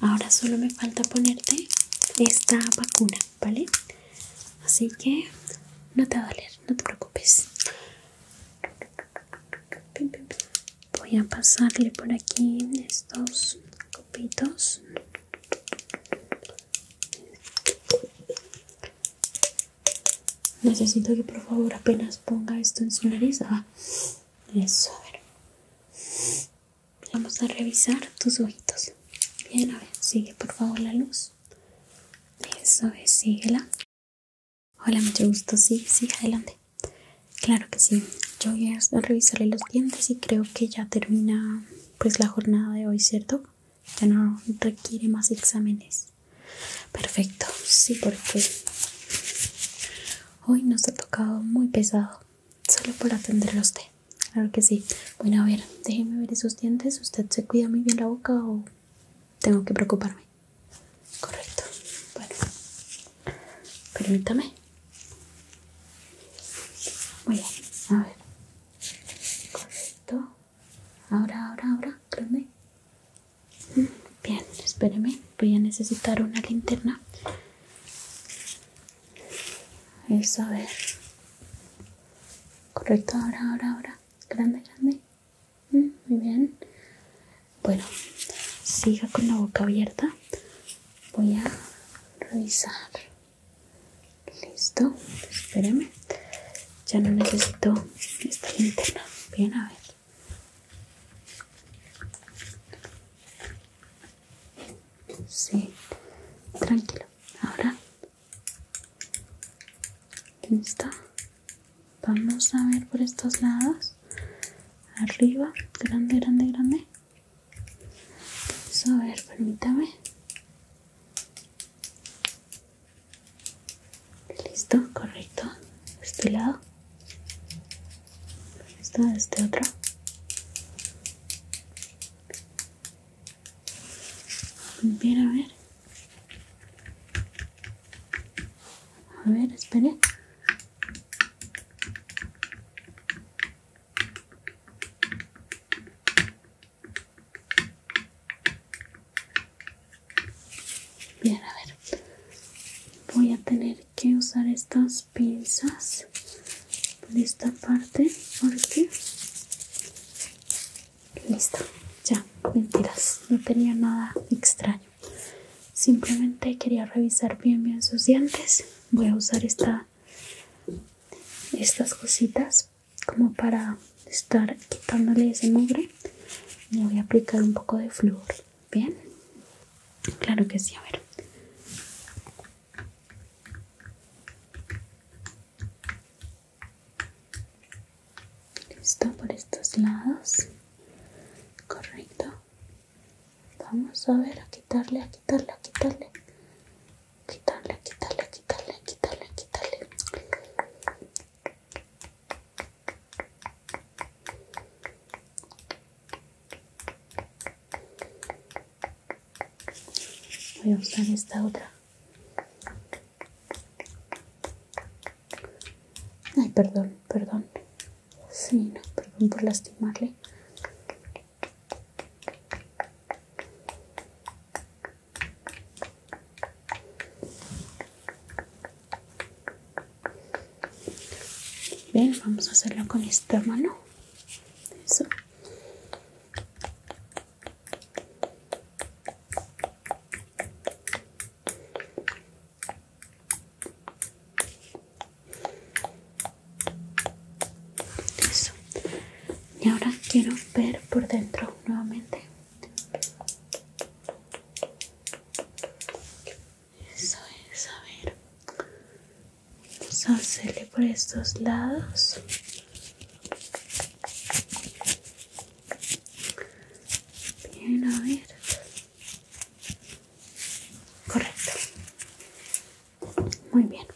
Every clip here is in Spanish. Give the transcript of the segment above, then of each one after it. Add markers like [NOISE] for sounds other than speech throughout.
Ahora solo me falta ponerte esta vacuna, ¿vale? Así que no te va a doler, no te preocupes. Voy a pasarle por aquí estos copitos. Necesito que por favor apenas ponga esto en su nariz. Ah, a Vamos a revisar tus ojitos. Bien, a ver, sigue por favor la luz. Eso es, síguela. Hola, mucho gusto. Sí, sí, adelante. Claro que sí. Yo voy a revisarle los dientes y creo que ya termina pues la jornada de hoy, ¿cierto? Ya no requiere más exámenes. Perfecto, sí, porque hoy nos ha tocado muy pesado, solo por atender a usted. Claro que sí. Bueno, a ver, déjeme ver esos dientes. ¿Usted se cuida muy bien la boca o tengo que preocuparme? Correcto. Bueno, permítame. Muy bien, a ver. Correcto. Ahora, ahora, ahora, Bien, espéreme, voy a necesitar una linterna. Eso, a ver. Correcto, ahora, ahora, ahora. Grande, grande. Mm, muy bien. Bueno, siga con la boca abierta. Voy a revisar. Listo, espéreme. Ya no necesito esta linterna. Bien, a ver. Sí, tranquilo. Ahora, listo. Vamos a ver por estos lados. Arriba, grande, grande, grande. a ver, permítame. Listo, correcto. este lado. este otro. Bien, a ver. A ver, espere. Bien, a ver. Voy a tener que usar estas pinzas por esta parte qué? listo ya mentiras no tenía nada extraño simplemente quería revisar bien bien sus dientes voy a usar esta estas cositas como para estar quitándole ese mugre y voy a aplicar un poco de flúor Bien, claro que sí, a ver. Listo por estos lados. Correcto. Vamos a ver a quitarle, a quitarle, a quitarle. Quitarle, quitarle, quitarle, quitarle, quitarle. Voy a usar esta otra. Ay, perdón, perdón. Sí, no, perdón por lastimarle. Bien, vamos a hacerlo con esta mano. Y ahora quiero ver por dentro nuevamente. Eso es, a ver. Vamos a hacerle por estos lados. Bien, a ver. Correcto. Muy bien.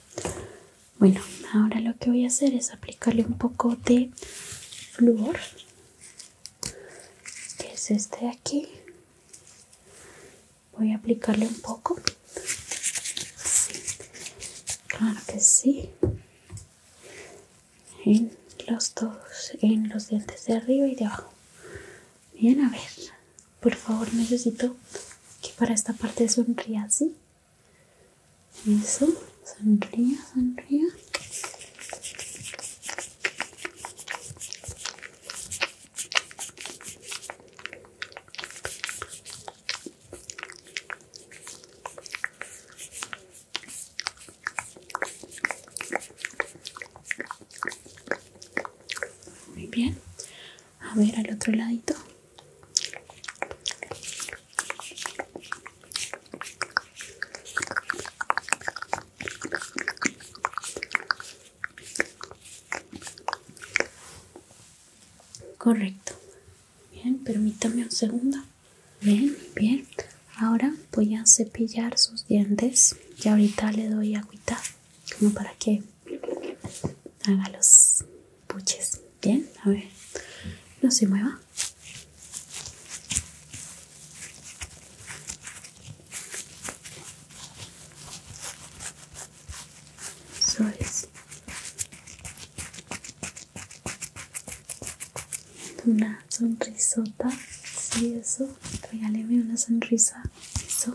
Bueno, ahora lo que voy a hacer es aplicarle un poco de flúor que es este de aquí voy a aplicarle un poco claro que sí en los dos en los dientes de arriba y de abajo bien a ver por favor necesito que para esta parte sonría así eso sonría sonría muy bien. A ver al otro ladito. Correcto. Bien, permítame un segundo. Bien, bien. Ahora voy a cepillar sus dientes y ahorita le doy agüita como para que haga los puches. Bien, a ver. No se mueva una sonrisota sí eso regáleme una sonrisa eso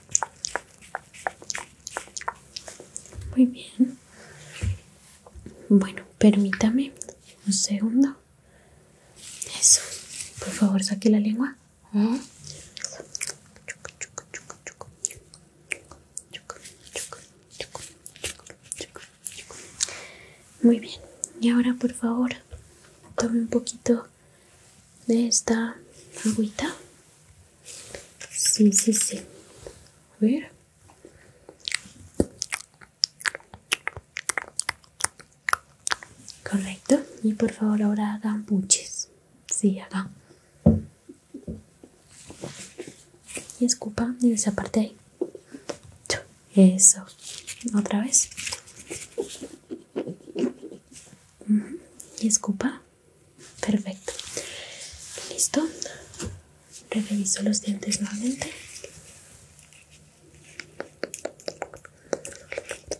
Muy bien. Bueno, permítame un segundo. Eso. Por favor, saque la lengua. Muy bien. Y ahora, por favor, tome un poquito de esta agüita. Sí, sí, sí. A ver. Correcto. Y por favor ahora hagan buches. Sí, hagan. Y escupa y esa parte ahí. Eso. Otra vez. Y escupa perfecto listo reviso los dientes nuevamente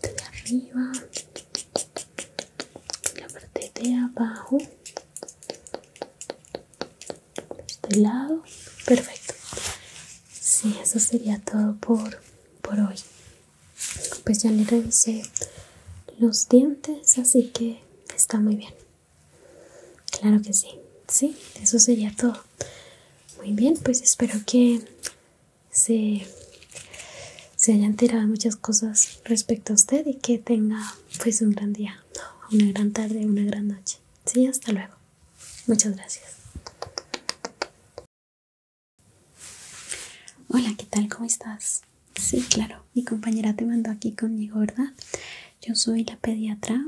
la parte de arriba la parte de abajo este lado perfecto sí eso sería todo por hoy pues ya le revisé los dientes así que está muy bien claro que sí sí eso sería todo muy bien pues espero que se, se tirado muchas cosas respecto a usted y que tenga pues un gran día una gran tarde una gran noche sí hasta luego muchas gracias Hola, ¿qué tal? ¿Cómo estás? Sí, claro, mi compañera te mandó aquí conmigo, ¿verdad? Yo soy la pediatra.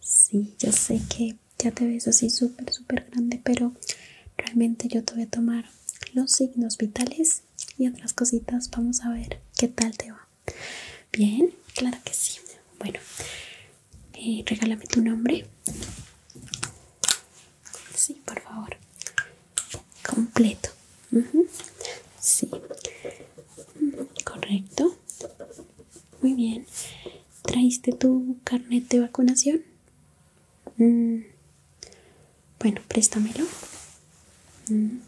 Sí, yo sé que ya te ves así súper, súper grande, pero realmente yo te voy a tomar los signos vitales y otras cositas. Vamos a ver qué tal te va. Bien, claro que sí. Bueno, eh, regálame tu nombre. Sí, por favor. Completo. Sí. Correcto. Muy bien. Traiste tu carnet de vacunación? Mm. Bueno, préstamelo. Mm.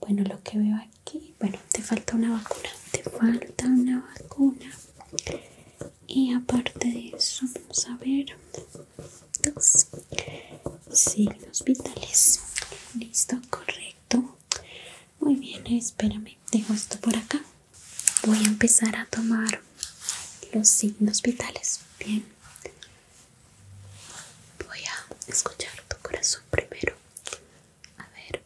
Bueno, lo que veo aquí, bueno, te falta una vacuna. Te falta una vacuna y aparte de eso vamos a ver los signos vitales listo correcto muy bien espérame dejo esto por acá voy a empezar a tomar los signos vitales bien voy a escuchar tu corazón primero a ver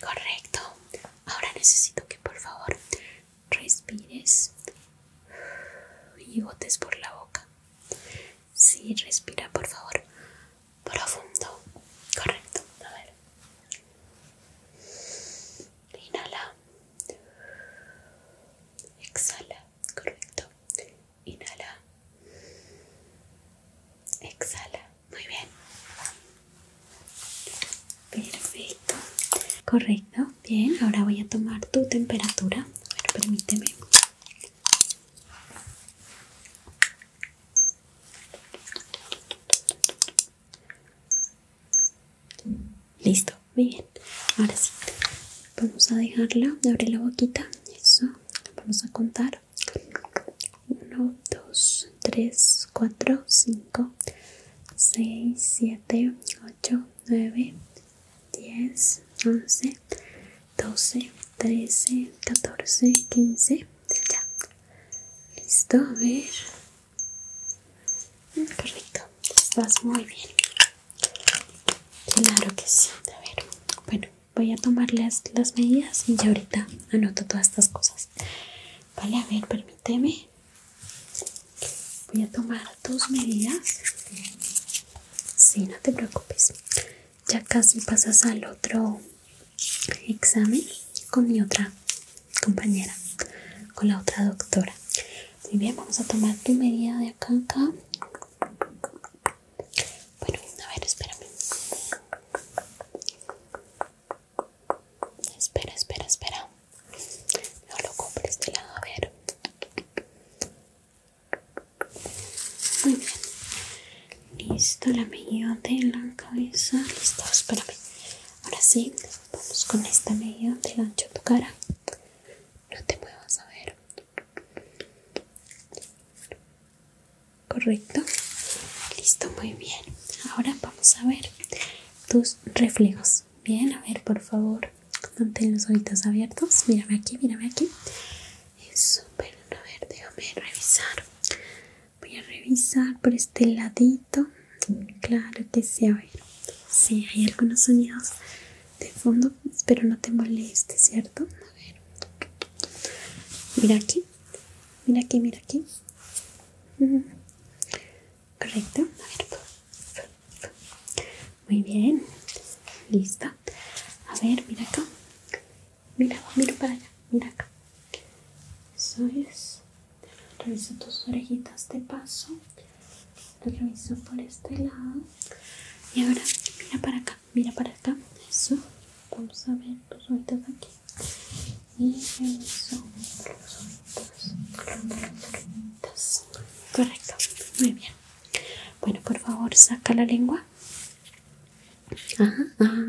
Correcto. Ahora necesito que por favor respires y botes por la boca. Sí, respira por favor. Profundo. Correcto. A ver. Inhala. Exhala. Correcto inhala, exhala, muy bien, perfecto, correcto, bien, ahora voy a tomar tu temperatura, permíteme. Listo, muy bien. Ahora sí, vamos a dejarla abrir la boquita eso vamos a contar 1 2 3 4 5 6 7 8 9 10 11 12 13 14 15 ya listo a ver mm, correcto estás muy bien claro que sí a ver bueno voy a tomarles las medidas y ya ahorita anoto todas estas cosas. Vale, a ver, permíteme. Voy a tomar tus medidas. Sí, no te preocupes. Ya casi pasas al otro examen con mi otra compañera, con la otra doctora. Muy bien, vamos a tomar tu medida de acá acá. Bueno, a ver, espérame. Espera, espera, espera. No lo compres este lado, a ver. Muy bien. Listo, la medida de la cabeza. Listo, espérame. Ahora sí, vamos con esta medida del ancho de tu cara no te puedo saber correcto listo muy bien ahora vamos a ver tus reflejos bien a ver por favor mantén los ojitos abiertos mírame aquí mírame aquí es pero a ver déjame revisar voy a revisar por este ladito claro que sí a ver sí hay algunos sonidos de fondo. Espero no te moleste, ¿cierto? A ver. Mira aquí. Mira aquí, mira aquí. Correcto. A Muy bien. Lista. A ver, mira acá. Mira, mira para allá. Mira acá. Eso es. Reviso tus orejitas de paso. Lo reviso por este lado. Y ahora mira para acá mira para acá eso vamos a ver tus ojitos aquí y eso, los ojitos correcto muy bien bueno por favor saca la lengua ajá, ajá.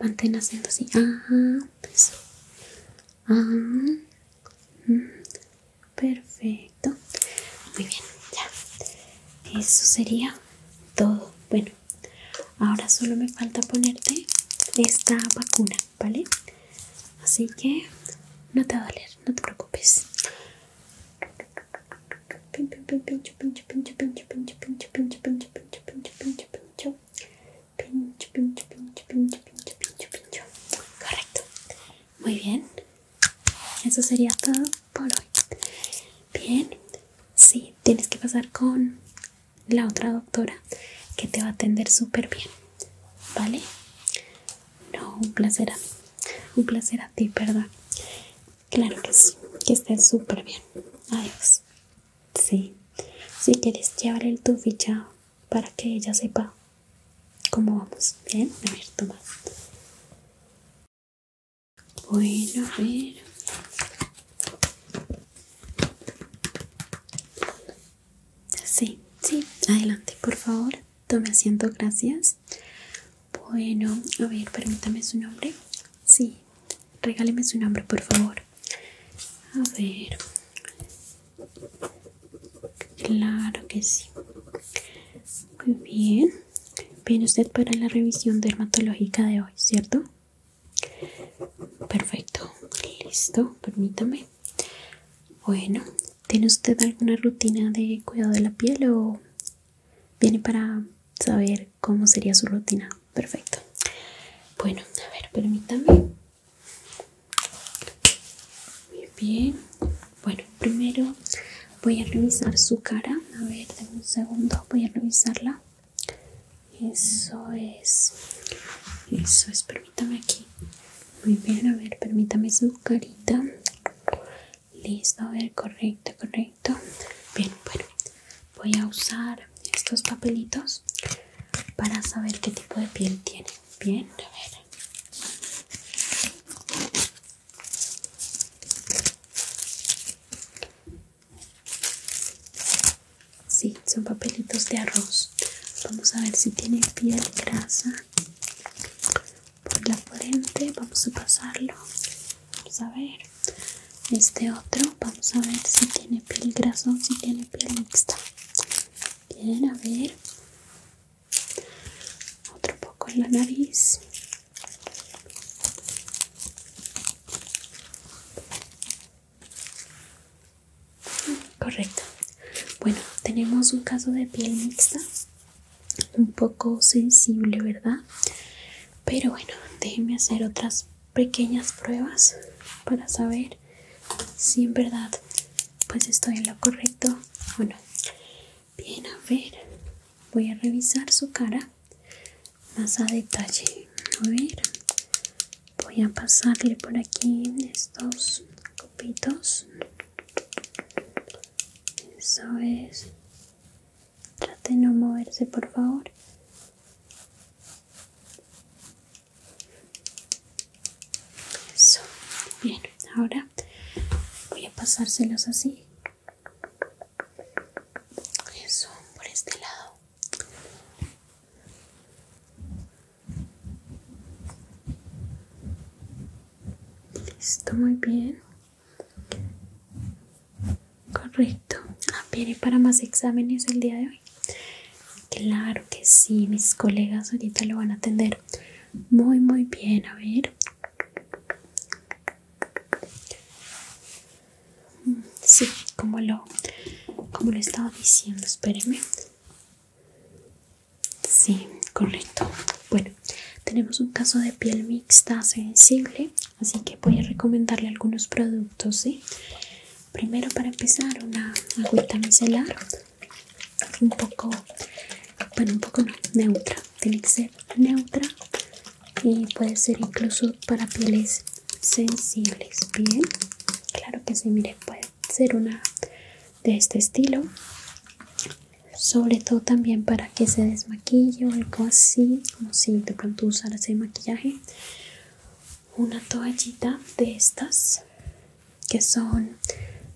mantén haciendo así ajá eso ajá mm. Perfecto. Muy bien, ya. Eso sería todo. Bueno, ahora solo me falta ponerte esta vacuna, ¿vale? Así que no te va doler, no te preocupes. Pincho, pincho, pincho, pincho, pincho, pincho, pincho, pincho, pincho, pincho, pincho, pincho, pincho, pincho, pincho, pincho, pincho, pincho, pincho, pincho. Correcto. Muy bien eso sería todo por hoy. Bien, sí, tienes que pasar con la otra doctora que te va a atender súper bien, ¿vale? No, un placer a un placer a ti, ¿verdad? Claro que sí, que estés súper bien. Adiós. Sí, si quieres el tu ficha para que ella sepa cómo vamos. Bien, a ver, toma. Bueno, a ver. Sí, sí, adelante, por favor. Tome asiento, gracias. Bueno, a ver, permítame su nombre. Sí, regáleme su nombre, por favor. A ver. Claro que sí. Muy bien. Viene usted para la revisión dermatológica de hoy, ¿cierto? Perfecto, listo, permítame. Bueno, ¿tiene usted alguna rutina de cuidado de la piel o viene para saber cómo sería su rutina? Perfecto. Bueno, a ver, permítame. Muy bien, bueno, primero voy a revisar su cara. A ver, dame un segundo, voy a revisarla. Eso es. Eso es, permítame aquí. Muy bien, a ver, permítame su carita. Listo, a ver, correcto, correcto. Bien, bueno, voy a usar estos papelitos para saber qué tipo de piel tiene. Bien, a ver. Sí, son papelitos de arroz. Vamos a ver si tiene piel grasa por la frente. Vamos a pasarlo. Vamos a ver. Este otro, vamos a ver si tiene piel grasa o si tiene piel mixta. Bien, a ver otro poco en la nariz correcto bueno tenemos un caso de piel mixta un poco sensible verdad pero bueno déjenme hacer otras pequeñas pruebas para saber si en verdad pues estoy en lo correcto bueno no Bien, a ver, voy a revisar su cara más a detalle. A ver, voy a pasarle por aquí estos copitos. Eso es. Trate de no moverse, por favor. Eso. Bien, ahora voy a pasárselos así eso, por este lado. Listo, muy bien. Correcto. Ah, ¿Viene para más exámenes el día de hoy? Claro que sí, mis colegas ahorita lo van a atender muy muy bien. A ver, Sí, como lo, como lo estaba diciendo, espérenme. Sí, correcto. Bueno, tenemos un caso de piel mixta sensible, así que voy a recomendarle algunos productos, ¿sí? Primero para empezar una agüita micelar, un poco, bueno, un poco no, neutra, tiene que ser neutra y puede ser incluso para pieles sensibles bien claro que sí mire puede ser una de este estilo sobre todo también para que se desmaquille o algo así como si de pronto usar ese maquillaje una toallita de estas que son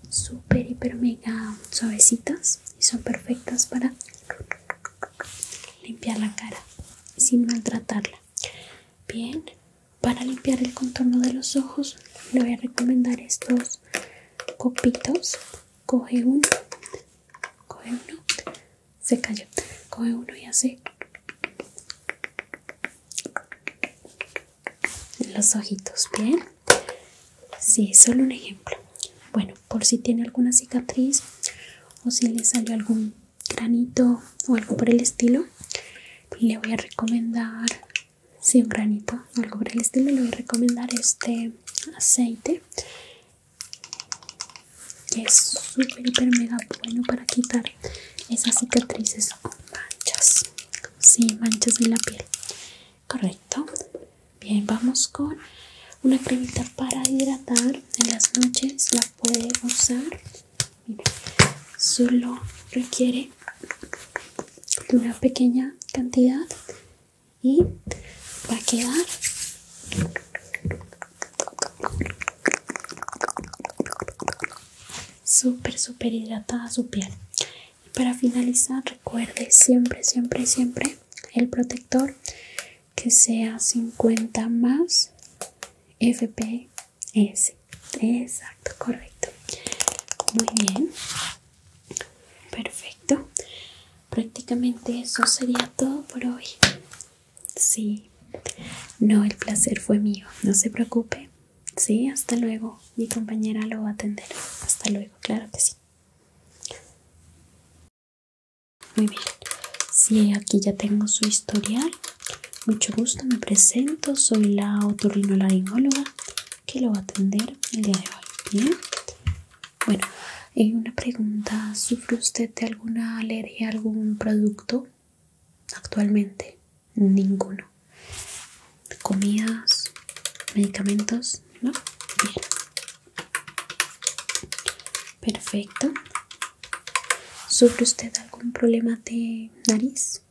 super, hiper mega suavecitas y son perfectas para limpiar la cara sin maltratarla. Bien, para limpiar el contorno de los ojos le voy a recomendar estos copitos. Coge uno, coge uno, se cayó, coge uno y hace los ojitos, bien. Sí, solo un ejemplo. Bueno, por si tiene alguna cicatriz o si le salió algún granito o algo por el estilo, le voy a recomendar, si un granito algo por el estilo, le voy a recomendar este aceite que es súper, mega bueno para quitar esas cicatrices manchas. Sí, manchas en la piel correcto bien vamos con una cremita para hidratar en las noches la puede usar solo requiere de una pequeña cantidad y va a quedar súper super hidratada su piel para finalizar, recuerde siempre, siempre, siempre el protector que sea 50 más FPS. Exacto, correcto. Muy bien. Perfecto. Prácticamente eso sería todo por hoy. Sí. No, el placer fue mío. No se preocupe. Sí, hasta luego. Mi compañera lo va a atender. Hasta luego, claro que sí. Muy bien, si aquí ya tengo su historial, mucho gusto, me presento, soy la otorrinolaringóloga que lo va a atender el día de hoy. bueno, y eh, una pregunta, ¿sufre usted de alguna alergia a algún producto actualmente? Ninguno comidas, medicamentos, ¿no? Bien. Perfecto. ¿Sufre usted algún problema de nariz?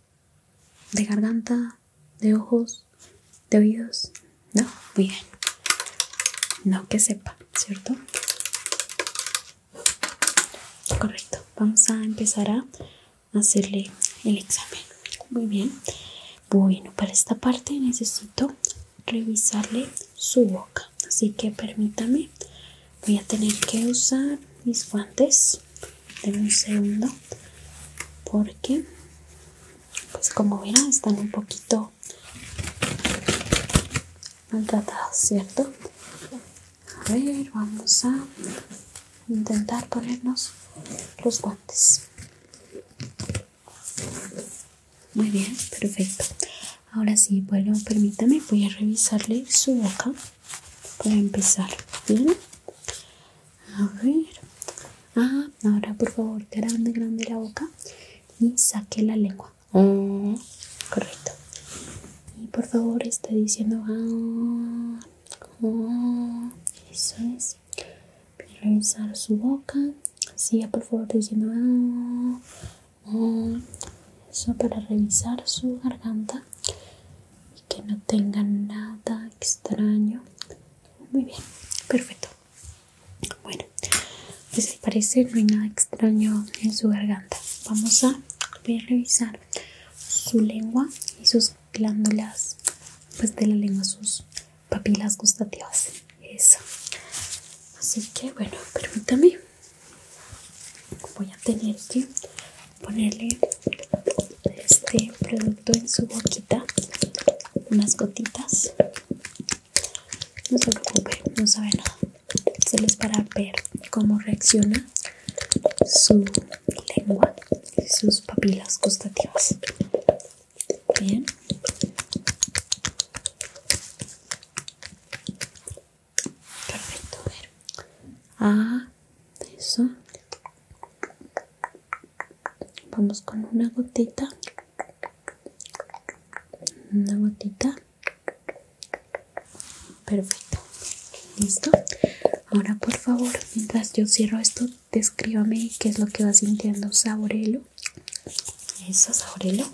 ¿De garganta? ¿De ojos? ¿De oídos? No, muy bien. No que sepa, ¿cierto? Correcto. Vamos a empezar a hacerle el examen. Muy bien. Bueno, para esta parte necesito revisarle su boca, así que permítame, voy a tener que usar mis guantes de un segundo porque pues como verán están un poquito maltratados, ¿cierto? A ver, vamos a intentar ponernos los guantes. Muy bien, perfecto. Ahora sí, bueno, permítame, voy a revisarle su boca para empezar. Bien, a ver. Ah, ahora por favor, grande, grande la boca y saque la lengua. Oh, correcto. Y por favor, está diciendo. Ah, oh, eso es revisar su boca siga por favor diciendo eso para revisar su garganta y que no tenga nada extraño muy bien perfecto bueno pues si parece no hay nada extraño en su garganta vamos a revisar su lengua y sus glándulas pues de la lengua sus papilas gustativas. Eso. Así que bueno, permítame. Voy a tener que ponerle este producto en su boquita. Unas gotitas. No se preocupe, no sabe nada. Solo es para ver cómo reacciona su lengua sus papilas gustativas. Bien. Perfecto, ver. Ah, eso. Vamos con una gotita. Una gotita. Perfecto. Listo. Ahora por favor, mientras yo cierro esto, descríbame qué es lo que va sintiendo. Saborelo. Eso, saborelo.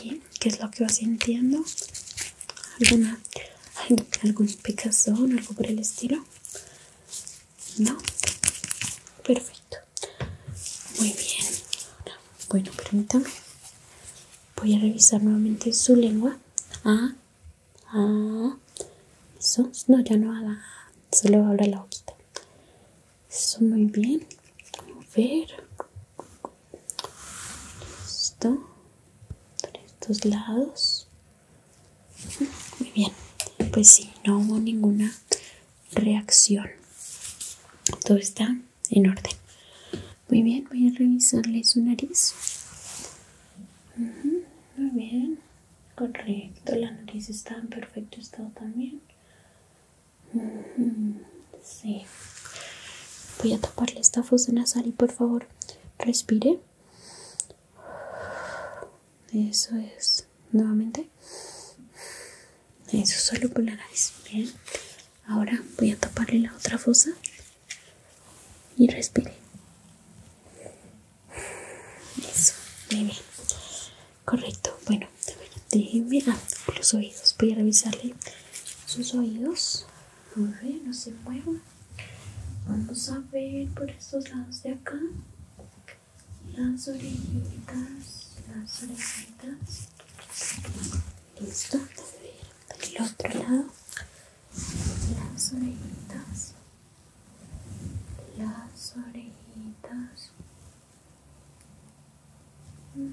Sí, qué es lo que va sintiendo. ¿Alguna, algún picazón, algo por el estilo? No. Perfecto. Muy bien. Bueno, permítame. Voy a revisar nuevamente su lengua. Ah, Ah, eso. No, ya no haga. Solo abra la boquita. Eso muy bien. A ver. Esto, Por estos lados. Muy bien. Pues sí, no hubo ninguna reacción. Todo está en orden. Muy bien, voy a revisarle su nariz. muy bien. Correcto, la nariz está en perfecto estado también. Sí. Voy a taparle esta fosa nasal y por favor respire. Eso es. Nuevamente. Eso solo por la nariz. Bien. Ahora voy a taparle la otra fosa y respire. Eso, muy bien. Correcto. Bueno, déjenme ah, los oídos. Voy a revisarle sus oídos. muy bien, no se muevan. Vamos a ver por estos lados de acá. Las orejitas, las orejitas. Listo. A ver, otro lado las orejitas, las orejitas. Muy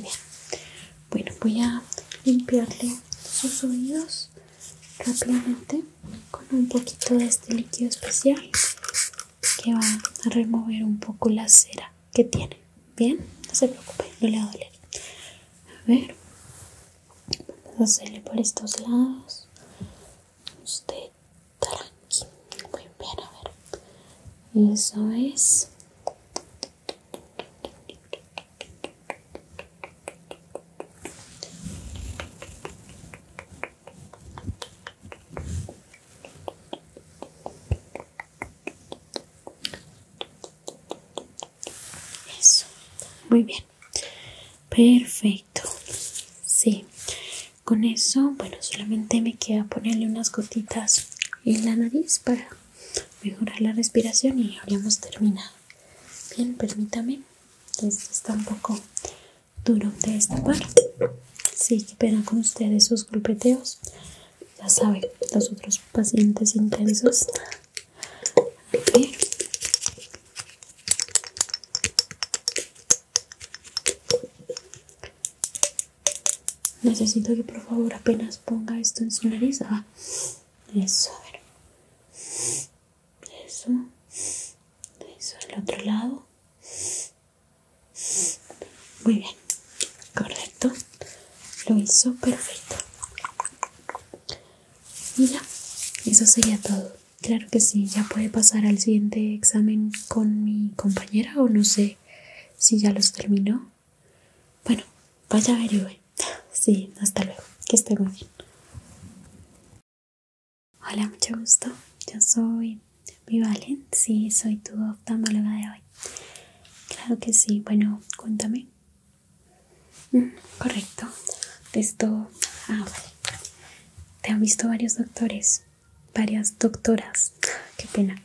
bien. Bueno, voy a limpiarle sus oídos rápidamente con un poquito de este líquido especial que va a remover un poco la cera que tiene. Bien, no se preocupe, no le va a doler. A ver, Vamos hacerle por estos lados. Usted tranqui. Muy bien, a ver. Eso es. Eso, muy bien perfecto sí con eso bueno solamente me queda ponerle unas gotitas en la nariz para mejorar la respiración y habríamos terminado bien permítame Esto está un poco duro de esta parte sí que pena con ustedes sus grupeteos. ya saben los otros pacientes intensos Necesito que por favor apenas ponga esto en su nariz. Ah, eso, a ver. Eso. Eso del otro lado. Muy bien. Correcto. Lo hizo perfecto. Y ya, eso sería todo. Claro que sí, ya puede pasar al siguiente examen con mi compañera o no sé si ya los terminó. Bueno, vaya a averiguar. Sí, hasta luego. Que esté bien. Hola, mucho gusto. Yo soy Vivalen, sí, soy tu oftalmóloga de hoy. Claro que sí. Bueno, cuéntame, correcto. Esto. Ah, Te han visto varios doctores, varias doctoras. Qué pena.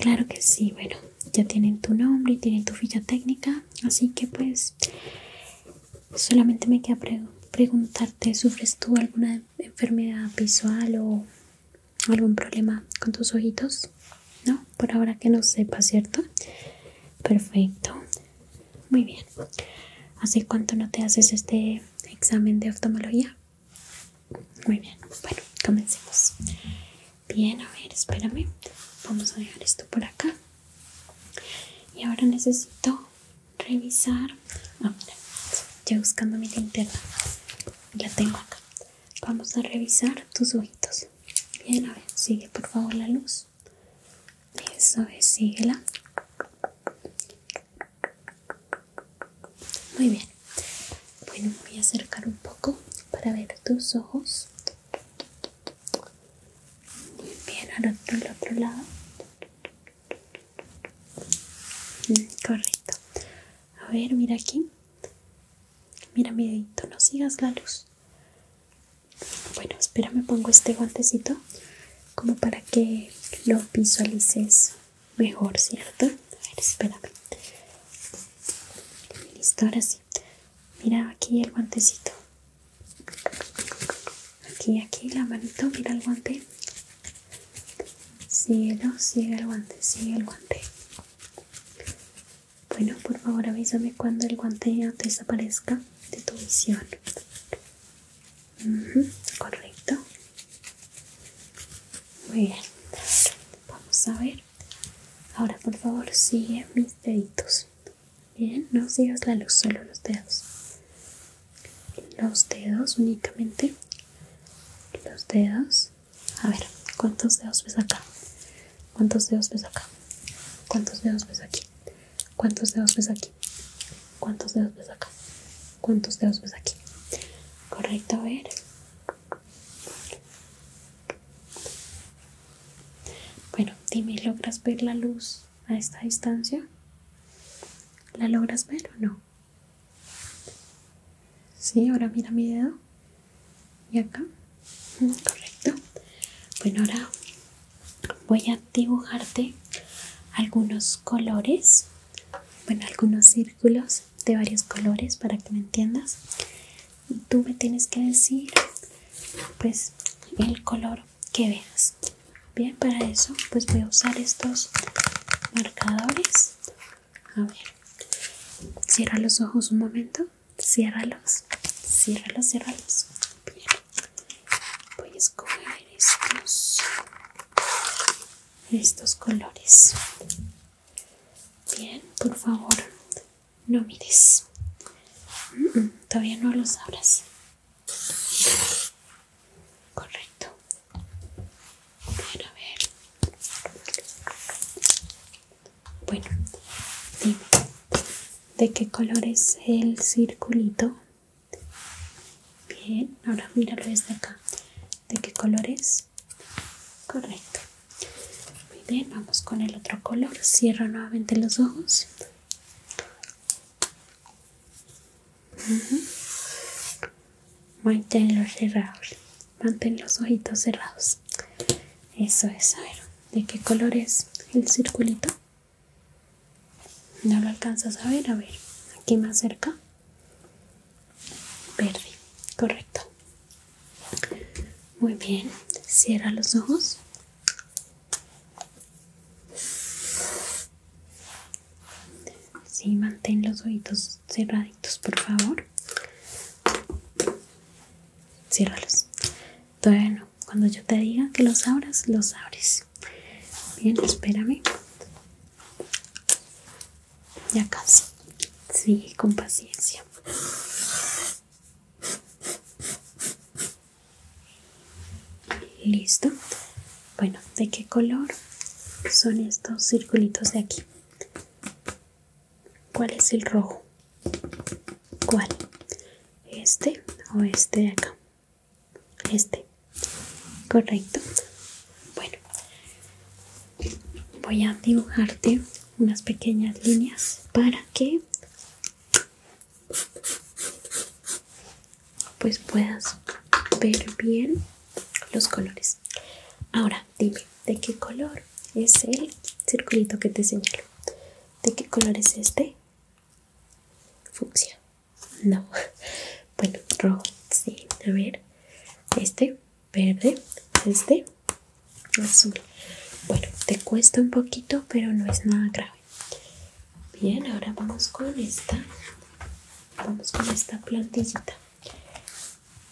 Claro que sí. Bueno, ya tienen tu nombre y tienen tu ficha técnica. Así que, pues, solamente me queda preguntarte: ¿sufres tú alguna enfermedad visual o algún problema con tus ojitos? No, por ahora que no sepa, ¿cierto? Perfecto. Muy bien. ¿Hace cuánto no te haces este examen de oftalmología? Muy bien. Bueno, comencemos. Bien, a ver, espérame. Vamos a dejar esto por acá. Y ahora necesito revisar. Ah, buscando mi linterna. La tengo acá. Vamos a revisar tus ojitos. Bien, a ver, sigue por favor la luz. Eso es, síguela. Muy bien. Bueno, voy a acercar un poco para ver tus ojos. Muy bien, al otro lado. Mm, correcto. A ver, mira aquí. Mira mi dedito, no sigas la luz. Bueno, espera, me pongo este guantecito como para que lo visualices mejor, ¿cierto? A ver, espérame. Listo, ahora sí. Mira aquí el guantecito. Aquí, aquí, la manito, mira el guante. Síguelo, sigue el guante, sigue el guante. Bueno, por favor avísame cuando el guante ya desaparezca de tu visión. correcto. Muy bien. Vamos a ver. Ahora, por favor, sigue mis deditos. Bien, no sigas la luz, solo los dedos. Los dedos únicamente. Los dedos. A ver, ¿cuántos dedos ves acá? ¿Cuántos dedos ves acá? ¿Cuántos dedos ves aquí? ¿Cuántos dedos ves aquí? ¿Cuántos dedos ves acá? ¿Cuántos dedos ves aquí? Correcto, a ver. Bueno, dime, ¿logras ver la luz a esta distancia? ¿La logras ver o no? Sí, ahora mira mi dedo. Y acá. Mm, correcto. Bueno, ahora voy a dibujarte algunos colores, bueno, algunos círculos de varios colores para que me entiendas. Tú me tienes que decir, pues, el color que veas. Bien, para eso, pues voy a usar estos marcadores. A ver, cierra los ojos un momento. Ciérralos, ciérralos, ciérralos. Bien. Voy a escoger estos, estos colores. Bien, por favor, no mires. todavía no los abras. Correcto. Bueno, a ver. Bueno, dime de qué color es el circulito bien ahora míralo desde acá de qué color es correcto muy bien vamos con el otro color Cierro nuevamente los ojos mantenlo cerrado. manténlos cerrados mantén los ojitos cerrados eso es a ver de qué color es el circulito no lo alcanzas a ver, a ver, aquí más cerca. Verde, correcto. Muy bien, cierra los ojos. Sí, mantén los oídos cerraditos, por favor. Ciérralos. Bueno, cuando yo te diga que los abras, los abres. Bien, espérame. Ya casi. Sí, con paciencia. Listo. Bueno, ¿de qué color son estos circulitos de aquí? ¿Cuál es el rojo? ¿Cuál? ¿Este o este de acá? Este. Correcto. Bueno, voy a dibujarte unas pequeñas líneas para que pues puedas ver bien los colores. Ahora, dime, ¿de qué color es el circulito que te señalo? ¿De qué color es este? funciona no [LAUGHS] bueno rojo sí a ver este verde este azul bueno te cuesta un poquito pero no es nada grave bien ahora vamos con esta vamos con esta plantillita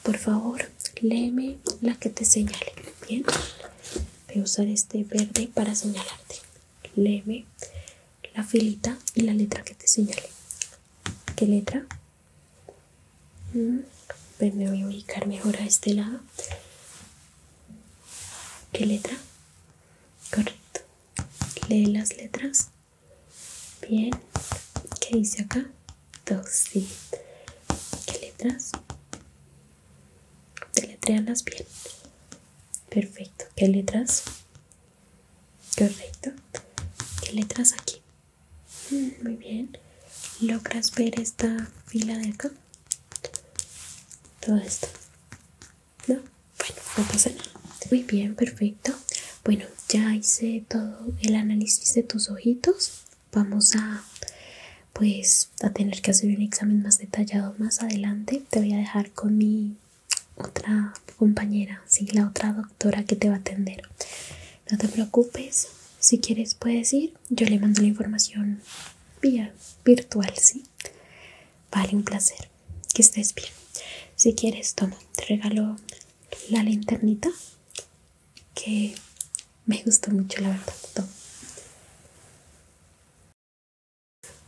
por favor léeme la que te señale bien voy a usar este verde para señalarte leve la filita y la letra que te señale qué letra mm, me voy a ubicar mejor a este lado qué letra correcto lee las letras bien qué dice acá dos sí qué letras las bien. Perfecto. ¿Qué letras? Correcto. ¿Qué letras aquí? Mm, muy bien. ¿Logras ver esta fila de acá? Todo esto. ¿No? Bueno, no pasa nada. Muy bien, perfecto. Bueno, ya hice todo el análisis de tus ojitos. Vamos a pues a tener que hacer un examen más detallado más adelante te voy a dejar con mi otra compañera sí la otra doctora que te va a atender no te preocupes si quieres puedes ir yo le mando la información vía virtual sí vale un placer que estés bien si quieres toma te regalo la linternita que me gustó mucho la verdad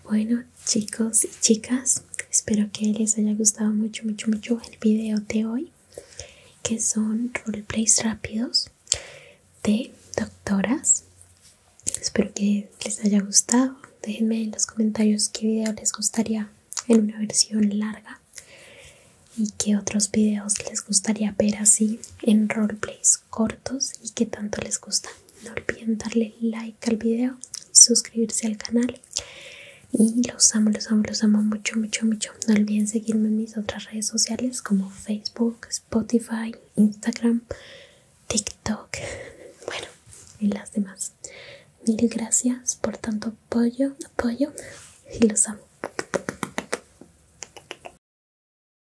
bueno chicos y chicas, espero que les haya gustado mucho, mucho, mucho el video de hoy, que son roleplays rápidos de doctoras. Espero que les haya gustado. Déjenme en los comentarios qué video les gustaría en una versión larga y qué otros videos les gustaría ver así en roleplays cortos y que tanto les gusta. No olviden darle like al video y suscribirse al canal. Y los amo, los amo, los amo mucho, mucho, mucho. No olviden seguirme en mis otras redes sociales como Facebook, Spotify, Instagram, TikTok. [LAUGHS] Bueno, y las demás. Mil gracias por tanto apoyo, apoyo y los amo.